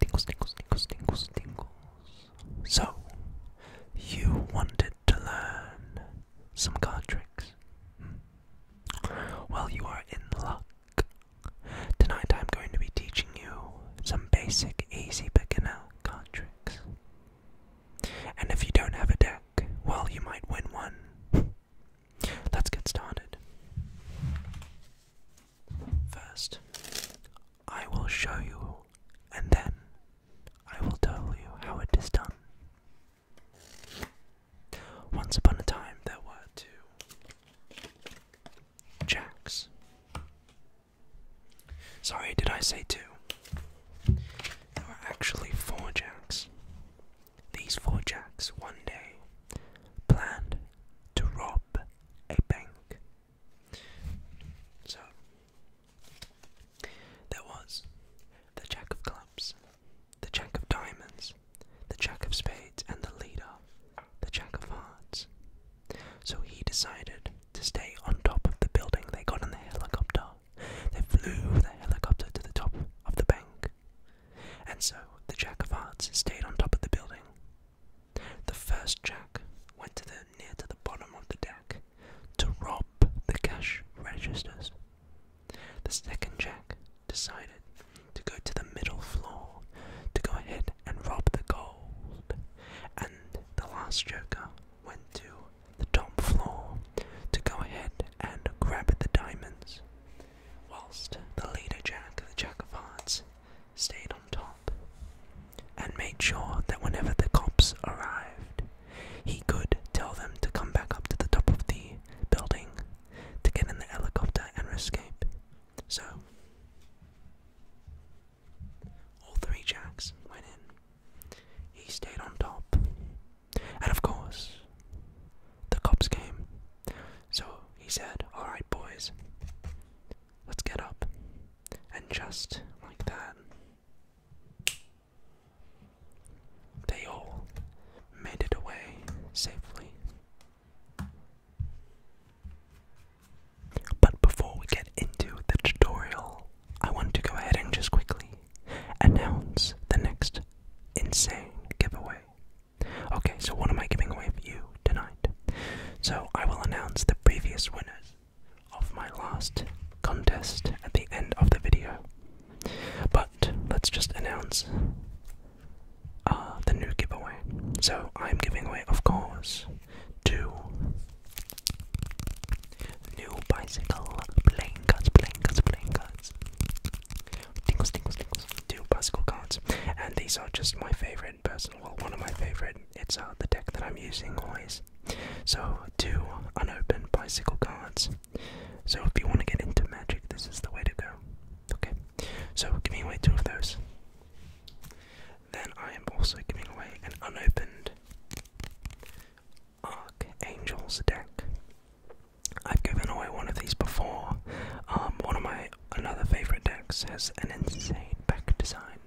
Tingles, tingles, tingles, tingles, tingles. So, you wanted to learn some card tricks? Well, you are in luck. Tonight I'm going to be teaching you some basic, easy beginner card tricks. And if you don't have a deck, well, you might win one. Let's get started. First, I will show you, and then I will tell you how it is done. Once upon a time, there were two jacks. Sorry, did I say two? There were actually four jacks. These four jacks one day planned to rob a bank. So, there was the Jack of Clubs, the Jack of Diamonds, the Jack of Spades, and the leader, the Jack of Hearts. So he decided to stay on top of the building. They got in the helicopter. They flew the helicopter to the top of the bank. And so the Jack of Hearts stayed on top of the building. The first Jack went near to the bottom of the deck to rob the cash registers. The second Jack decided to go to the middle floor to go ahead and rob the gold. And the last Joker went to the top floor to go ahead and grab the diamonds whilst the leader Jack, the Jack of Hearts, stayed on top and made sure that whenever the cops arrived, he could tell them to come back up to the top of the building to get in the helicopter and escape. So, all three Jacks went in. He stayed on top. And of course, the cops game. So he said, Alright, boys, let's get up. And just like that, they all made it away safely. But before we get into the tutorial, I want to go ahead and just quickly announce the next insane giveaway. Okay, so what am I giving away for you tonight? So I will announce the previous winners of my last contest at the end of the video. But let's just announce uh, the new giveaway. So I'm giving away, of course, two new bicycle playing cards, playing two bicycle cards. And these are just my favorite personal, well, one of my favorite. It's uh, the deck that I'm using always. So, two unopened bicycle cards. So, if you want to get into magic, this is the way to go. Okay, so giving away two of those. Then I am also giving away an unopened Archangels deck. I've given away one of these before. Um, one of my another favorite deck has an insane back design.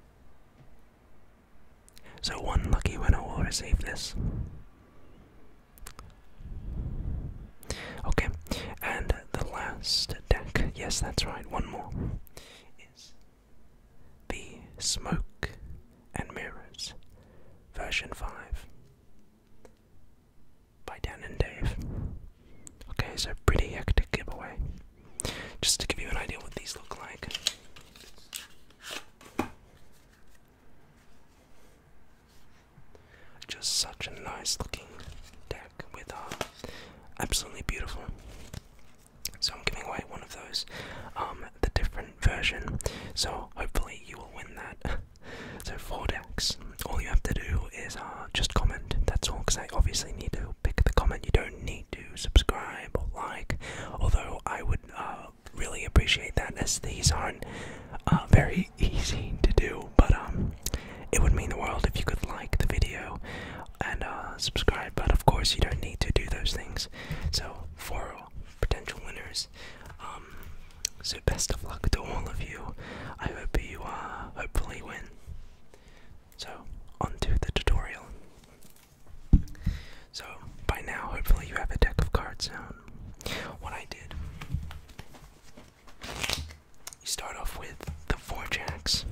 So one lucky winner will receive this. Okay, and the last deck, yes, that's right, one more, is the Smoke and Mirrors version 5 by Dan and Dave. Okay, so pretty hectic giveaway. Just to give you an idea what these look like. Just such a nice looking deck with art. Uh, absolutely beautiful. So I'm giving away one of those, um, the different version. So hopefully you will win that. So for decks, all you have to do is uh, just comment. That's all, because I obviously need to pick the comment. You don't need to subscribe or like, although I would uh, really appreciate that, as these aren't uh, very easy to do. But um, it would mean the world if you could like the video and subscribe. But of course, you don't need to do those things. So for potential winners. Um, so best of luck to all of you. I hope you uh, hopefully win. So, on to the tutorial. So, by now, hopefully, you have a deck of cards down. What I did, you start off with the four jacks.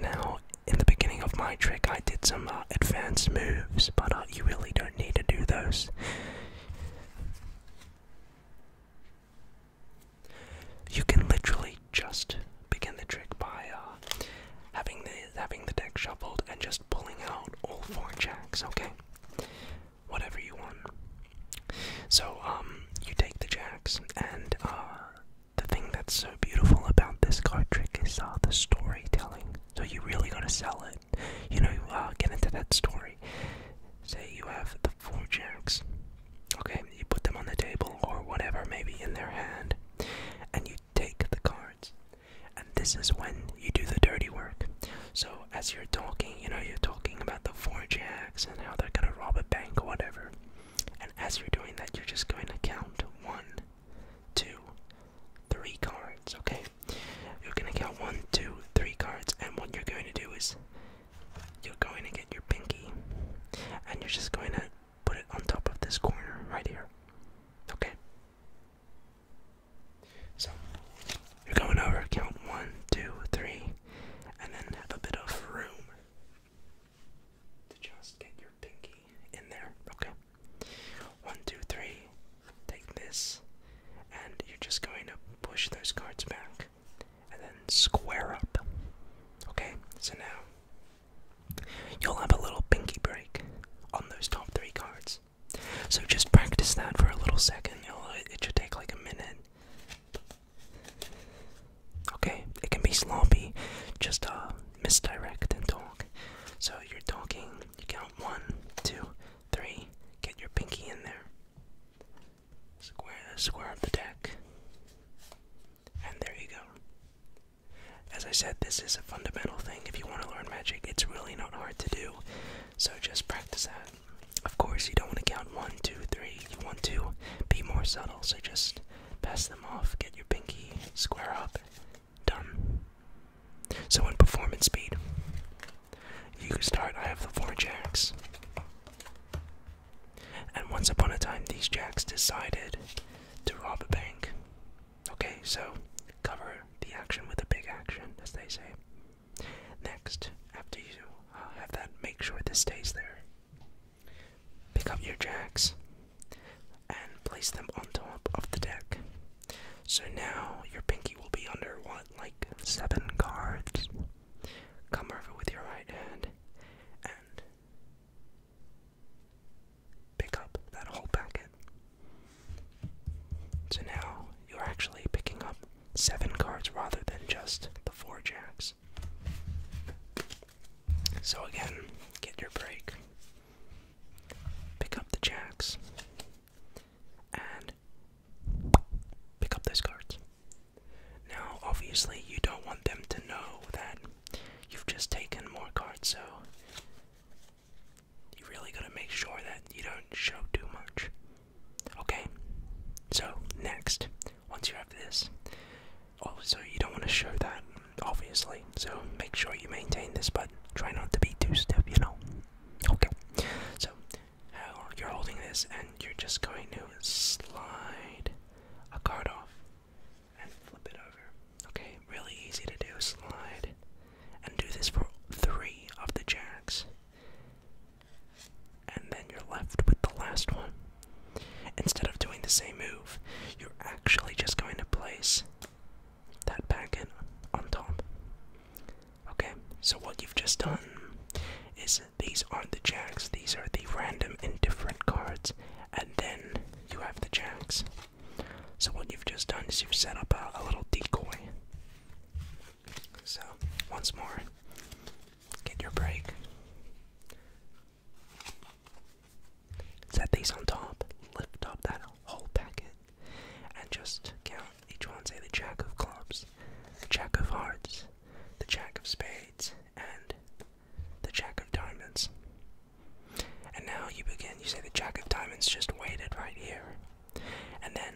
Now, in the beginning of my trick, I did some uh, advanced moves, but uh, you really don't need to do those. You can literally just begin the trick by uh, having the having the deck shuffled and just pulling out all four jacks. Okay, whatever you want. So um, you take the jacks, and uh, the thing that's so beautiful about this card trick is uh, the storytelling. So you are really going to sell it. You know, get into that story. Say you have the four jacks. Okay, you put them on the table or whatever, maybe in their hand, and you take the cards. And this is when you do the dirty work. So, as you're talking, you know, you're talking about the four jacks and how they're gonna rob a bank or whatever. And as you're doing that, you're just going to count one, two, three cards, okay? You're gonna count one, two, three cards, and what you're going to do is you're going to get your pinky and you're just going to put it on top of this corner right here. Okay? So, you're going over, count one, two, three, and then have a bit of room to just get your pinky in there. Okay? One, two, three, take this, and you're just going to push those cards back and then square up. Okay, so now you'll have a little pinky break on those top three cards. So just practice that for a little second. should take like a minute. Okay, it can be sloppy. Just uh, misdirect and talk. So you're talking. You count one, two, three. Get your pinky in there. Square the square of the deck. And there you go. As I said, this is a fundamental thing. If you want to learn magic, it's really not hard to do. So just practice that. Of course, you don't want to count one, two, three. You want to be more subtle. So just pass them off, get your pinky square up. Done. So in performance speed, you start. I have the four jacks. And once upon a time, these jacks decided to rob a bank. Okay, so cover the action with a big action, as they say. Next, after you uh, have that, make sure this stays there. Pick up your jacks and place them on top of the deck. So now your pinky will be under what, like seven cards? Come over with your right hand and pick up that whole packet. So now you're actually picking up seven cards rather than just the four jacks. So again, get your break. Pick up the jacks and pick up those cards. Now, obviously, you don't want them to know that you've just taken more cards, so you really gotta make sure that you don't show too much. Okay, so next, once you have this, also you don't want to show that, obviously, so make sure you maintain this, but try not to be too stiff, you know. Okay, so you're holding this and you're just going to slide a card off and flip it over. Okay, really easy to do. Slide and do this for three of the jacks. And then you're left with the last one. Instead of doing the same move, you're actually just going to place that packet on top. Okay, so what you've just done is these aren't the jacks, these are the random indifferent cards, and then you have the jacks. So, what you've just done is you've set up a little decoy. So, once more, get your break. Set these on top, lift up that whole packet, and just count each one. Say the jack of clubs, the jack of hearts, the jack of spades, and the Jack of Diamonds. And now you begin, you say the Jack of Diamonds just waited right here. And then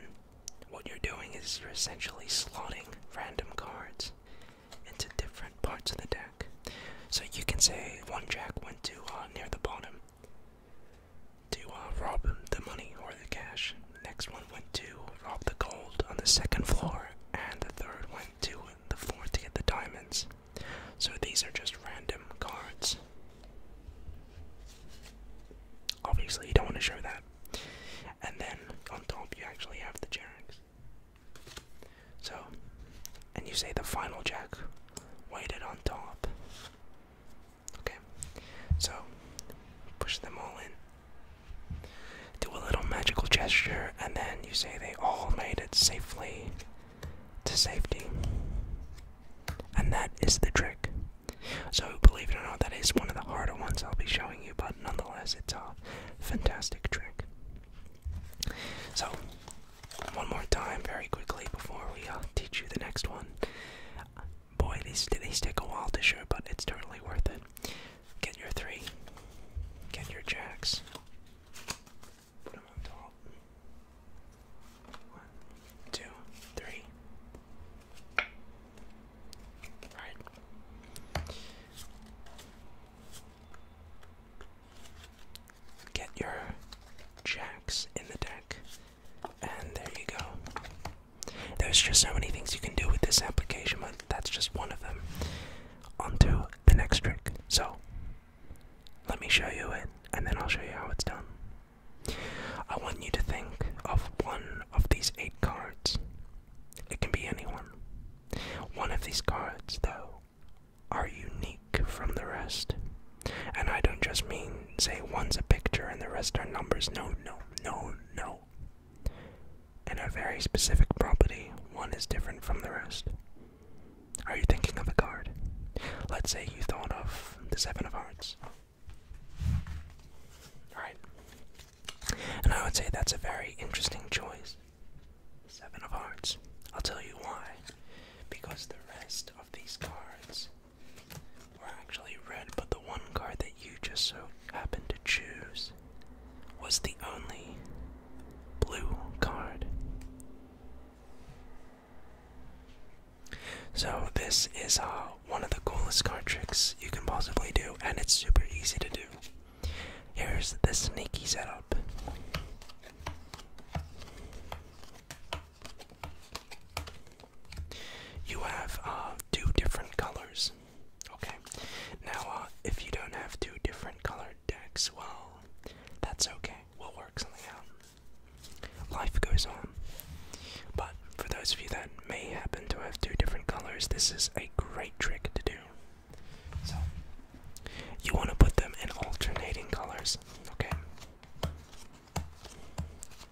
what you're doing is you're essentially slotting random cards into different parts of the deck. So you can say one Jack went to uh, near the bottom to uh, rob the money or the cash. Next one went to rob the gold on the second floor, and the third went to the fourth to get the diamonds. So these are just random cards. Obviously, you don't want to show that. And then on top, you actually have the jacks. So, and you say the final jack weighted on top. Okay, so push them all in. Do a little magical gesture, and then you say they all made it safely to safety. And that is the trick. So, believe it or not, that is one of the harder ones I'll be showing you, but nonetheless, it's a fantastic trick. So, one more time, very quickly, before we uh, teach you the next one. Boy, these, these take a while to show, but it's totally worth it. Get your three. Get your jacks. Put them on top. One, two, three. Right. Get your jacks in the deck. And there you go. There's just so many things you can do with this application, my that's just one of them. Onto the next trick. So, let me show you it, and then I'll show you how it's done. I want you to think of one of these eight cards. It can be anyone. One of these cards, though, are unique from the rest. And I don't just mean, say, one's a picture and the rest are numbers. No, no, no, no and a very specific property. One is different from the rest. Are you thinking of a card? Let's say you thought of the Seven of Hearts. Alright. And I would say that's a very interesting choice. Seven of Hearts. I'll tell you why. Because the rest of these cards were actually red, but the one card that you just so happened to choose was the only blue card. So, this is uh, one of the coolest card tricks you can possibly do, and it's super easy to do. Here's the sneaky setup. You have uh, two different colors Okay, now uh, if you don't have two different colored decks, well, that's okay. We'll work something out. Life goes on. But for those of you that may happen to have two different colors, this is a great trick to do. So, you want to put them in alternating colors, okay?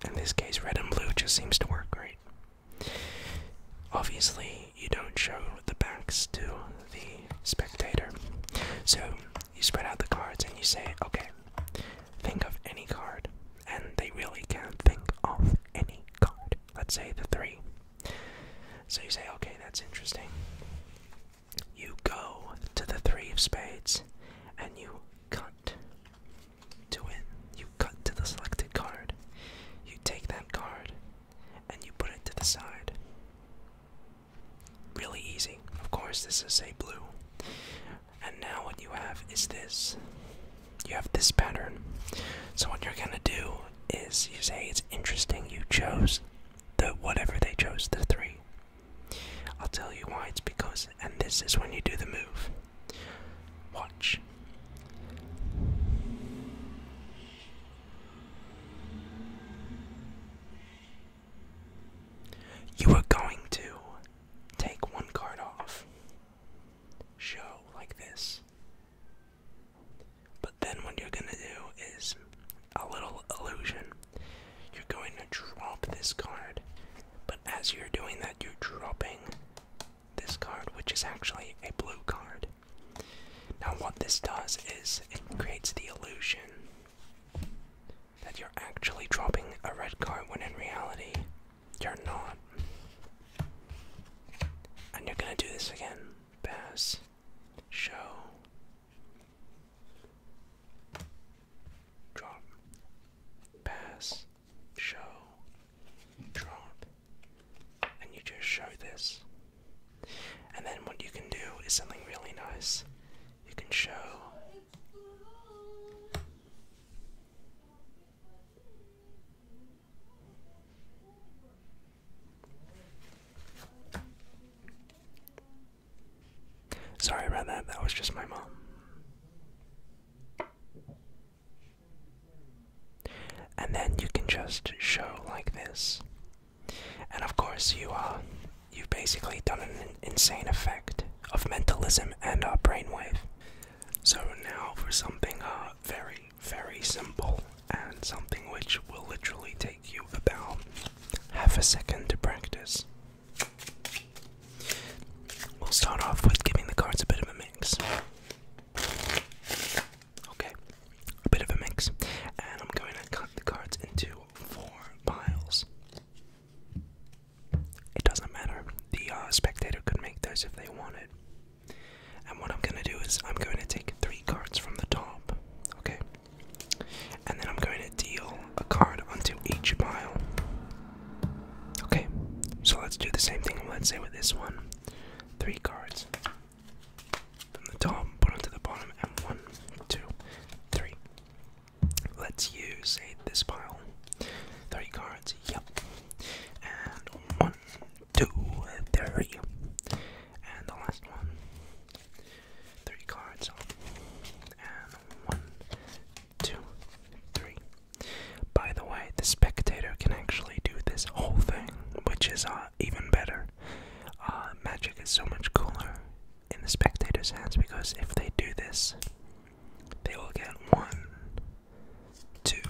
In this case, red and blue just seems to work great. Obviously, you don't show the backs to the spectator. So, you spread out the cards and you say, okay, think of any card. And they really can't think of any card. Let's say the three. So you say, okay, that's interesting. You go to the three of spades and you cut to it. You cut to the selected card. You take that card and you put it to the side. Really easy. Of course, this is a blue. And now what you have is this. You have this pattern. So what you're gonna do is you say it's interesting you chose the whatever they chose, the three. I'll tell you why it's because and this is when you do the move. Watch. You are going to take one card off, show like this. But then what you're gonna do is a little illusion. You're going to drop this card, but as you're doing that, you're dropping this card, which is actually a blue card. Now, what this does is it creates the illusion that you're actually dropping a red card when in reality you're not. And you're gonna do this again. Pass. Show. Drop. Pass. Show drop and you just show this and then what you can do is something really nice you can show Sorry about that, that was just my mom. And then you can just show like this. And of course, you uh, you've basically done an insane effect of mentalism and uh, brainwave. So now for something uh, very, very simple and something which will literally take you about half a second to practice. We'll start off with giving the cards a bit of a mix. Okay, a bit of a mix. And I'm going to cut the cards into four piles. It doesn't matter. The uh, spectator could make those if they wanted. And what I'm going to do is I'm going to take three cards from the top, okay? And then I'm going to deal a card onto each pile. Okay, so let's do the same thing. Let's say with this one, three cards from the top, put onto the bottom, one, two, three. Let's use, this pile. Three cards, yep. And one, two, three. And the last one. Three cards. And one, two, three. By the way, the spectator can actually do this whole thing, which is uh, uh, even better. Uh, magic is so much cooler in the spectators' hands because if they do this, they will get one, two,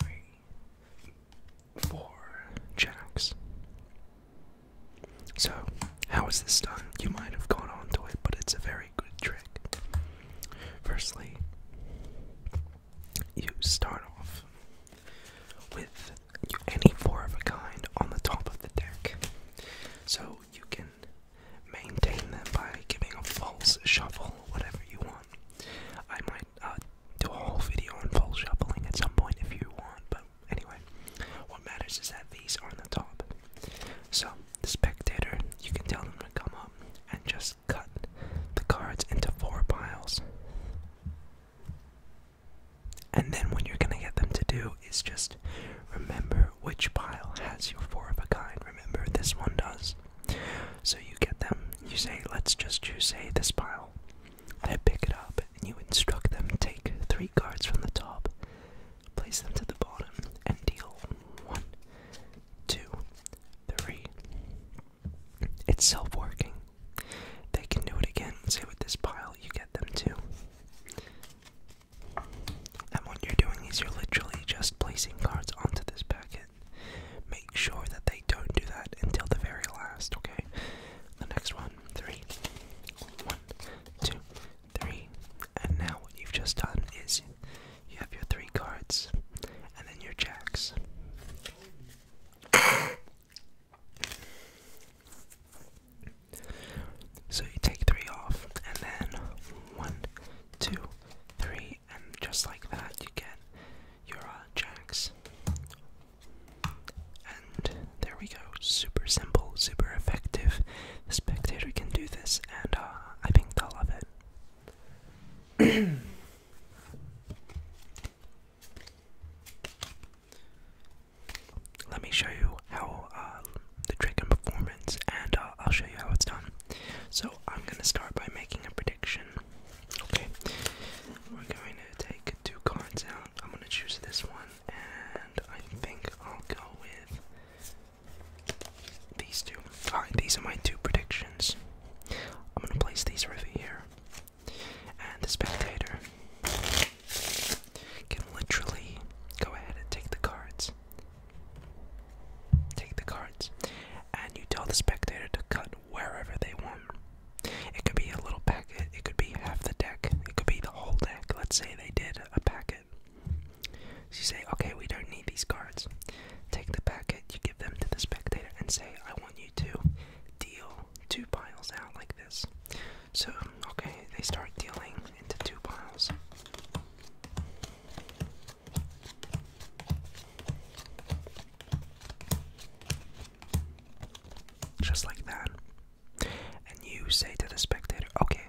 three, four jacks. So, how is this done? You might have gone on to it, but it's a very good trick. Firstly, you start off with any four of a kind on the top of the deck. So you can maintain them by giving a false shuffle, whatever you want. I might uh, do a whole video on false shuffling at some point if you want, but anyway, what matters is that these are on the top. So the spectator, you can tell them to come up and just cut the cards into four piles. And then what you're going to get them to do is just remember which pile has your four of a kind. Remember, this one does. So you get them, you say, let's just choose, say, this pile. They pick it up, and you instruct them to take three cards from the top, place them to the bottom, and deal one, two, three, it's self working. They can do it again. See with this pile, you get them too. And what you're doing is you're literally just placing cards onto this packet. Make sure that they don't do that until the very last, okay? The next one, three, one, two, three. And now what you've just done is you have your three cards and then your jacks. so you take three off, and then one, two, three, and just like that, you get your uh, jacks. And there we go. Super simple, super effective. The spectator can do this, and uh, I think they'll love it. Let me show you how uh, the trick and performance, and uh, I'll show you how it's done. So I'm gonna start by making a prediction. Okay, we're going to take two cards out. I'm gonna choose this one, and I think I'll go with these two. Alright, these are my two predictions. I'm gonna place these right here and the spectator can literally go ahead and take the cards. Take the cards, and you tell the spectator to cut wherever they want. It could be a little packet, it could be half the deck, it could be the whole deck. Let's say they did a packet. So you say, okay, we don't need these cards. Take the packet, you give them to the spectator, and say, I want you you to deal two piles out like this. So, okay, they start dealing into two piles. Just like that. And you say to the spectator, okay,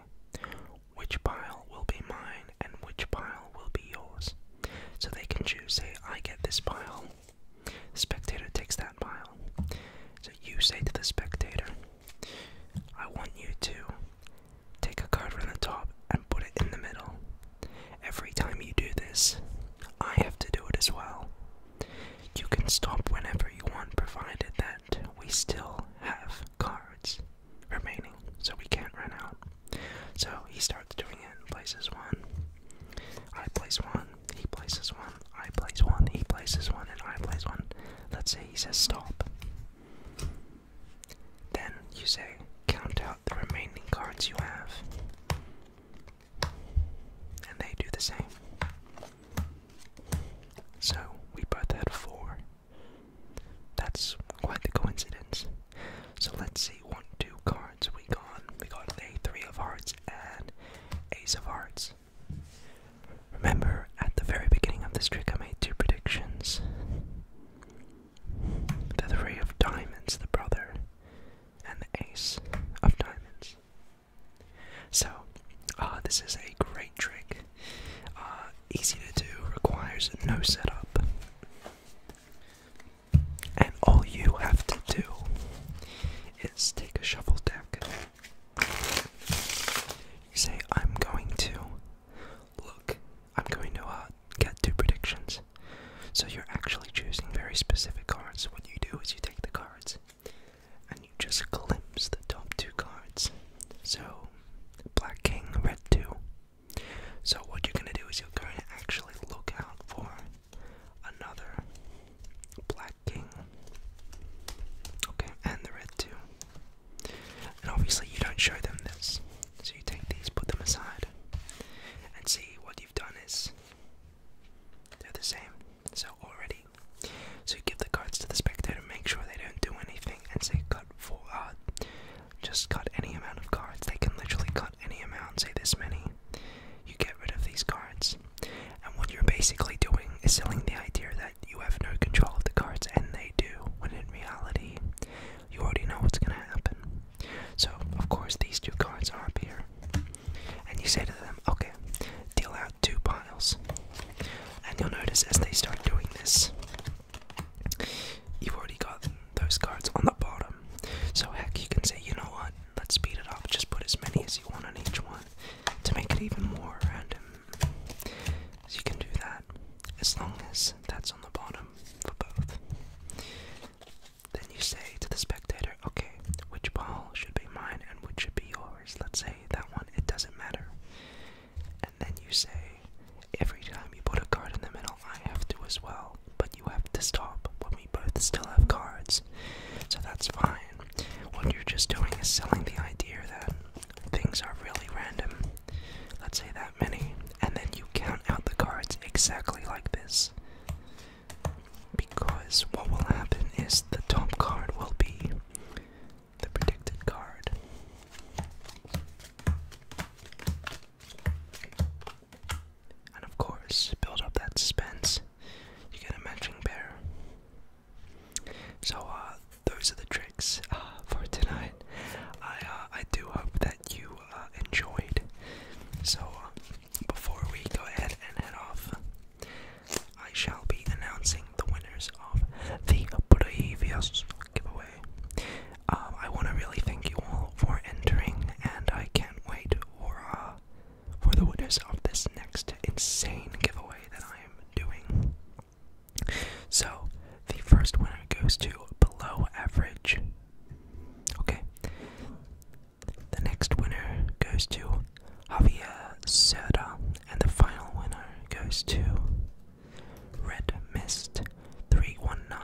which pile will be mine and which pile will be yours? So they can choose, say, I get this pile, the spectator takes that pile. So you say to the spectator, I want you to take a card from the top and put it in the middle. Every time you do this, I have to do it as well. You can stop whenever you want, provided that we still have cards remaining, so we can't run out. So he starts starts doing it and places one. I place one, he places one, I place one, he places one, and I place one. Let's say he says stop. Then you say count out the remaining cards you have. And they do the same. So we both had four. That's quite the coincidence. So let's see, one, two, cards. We got we got a three of hearts and ace of hearts. Remember, at the very beginning of this trick, I made two predictions: the three of diamonds, the brother, and the ace of diamonds. So, uh, this is a great trick. Uh, easy to do, requires no setup. And all you have to do is take a shuffle deck. You say, I'm going to look, I'm going to uh, get two predictions. So you're actually choosing very specific cards. What you do is you take the cards and you just glimpse the top two cards. So, Black King, Red 2. So, what you're going to do is you're going to actually look out for another black king. Okay, and the red too. And obviously, you don't show them this. So you take these, put them aside, and see what you've done is they're the same. So already. So you give the cards to the spectator, make sure they don't do anything, and say cut for uh, just cut any amount of cards. They can literally cut any amount, say this many, you get rid of these cards. And what you're basically doing is selling the idea that you have no control of the cards, and they do, when in reality, you already know what's going to happen. So, of course, these two cards are up here. And you say to them, okay, deal out two piles. And you'll notice as they start doing this, you've already got those cards on the bottom. So, heck, you can say, you know what? Let's speed it up. Just put as many as you want on each one to make it even more random. you can do that as long as that's on the bottom for both. Then you say to the spectator, okay, which ball should be mine and which should be yours? Let's say that one, it doesn't matter. And then you say, every time you put a card in the middle, I have to as well but you have to stop when we both still have cards. So that's fine. What you're just doing is selling the idea that things are really random. Let's say that many, and then you count out the cards exactly like this. Because what will happen is the top card will be the predicted card. And of course, build up that suspense. You get a matching pair. So, uh, those are the tricks uh, for tonight. I uh, I do hope that you uh, enjoyed. So, uh, before we go ahead and head off, I shall be announcing the winners of the previous giveaway. Um, I want to really thank you all for entering, and I can't wait for uh, for the winners of this next insane giveaway that I am doing. So, the first winner goes to below average. Okay. The next winner goes to Javier Serra, and the final winner goes to Red Mist 319.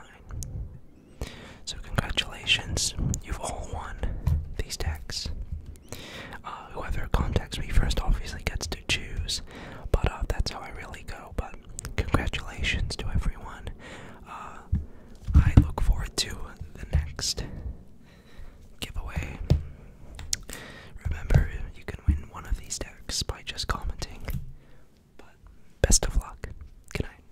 So congratulations, you've all won these decks. Uh, whoever contacts me first obviously gets to choose, but uh, that's how I really go. But congratulations to everyone. Uh, I look forward to the next giveaway. Remember, you can win one of these decks by just commenting. best of luck. Good night.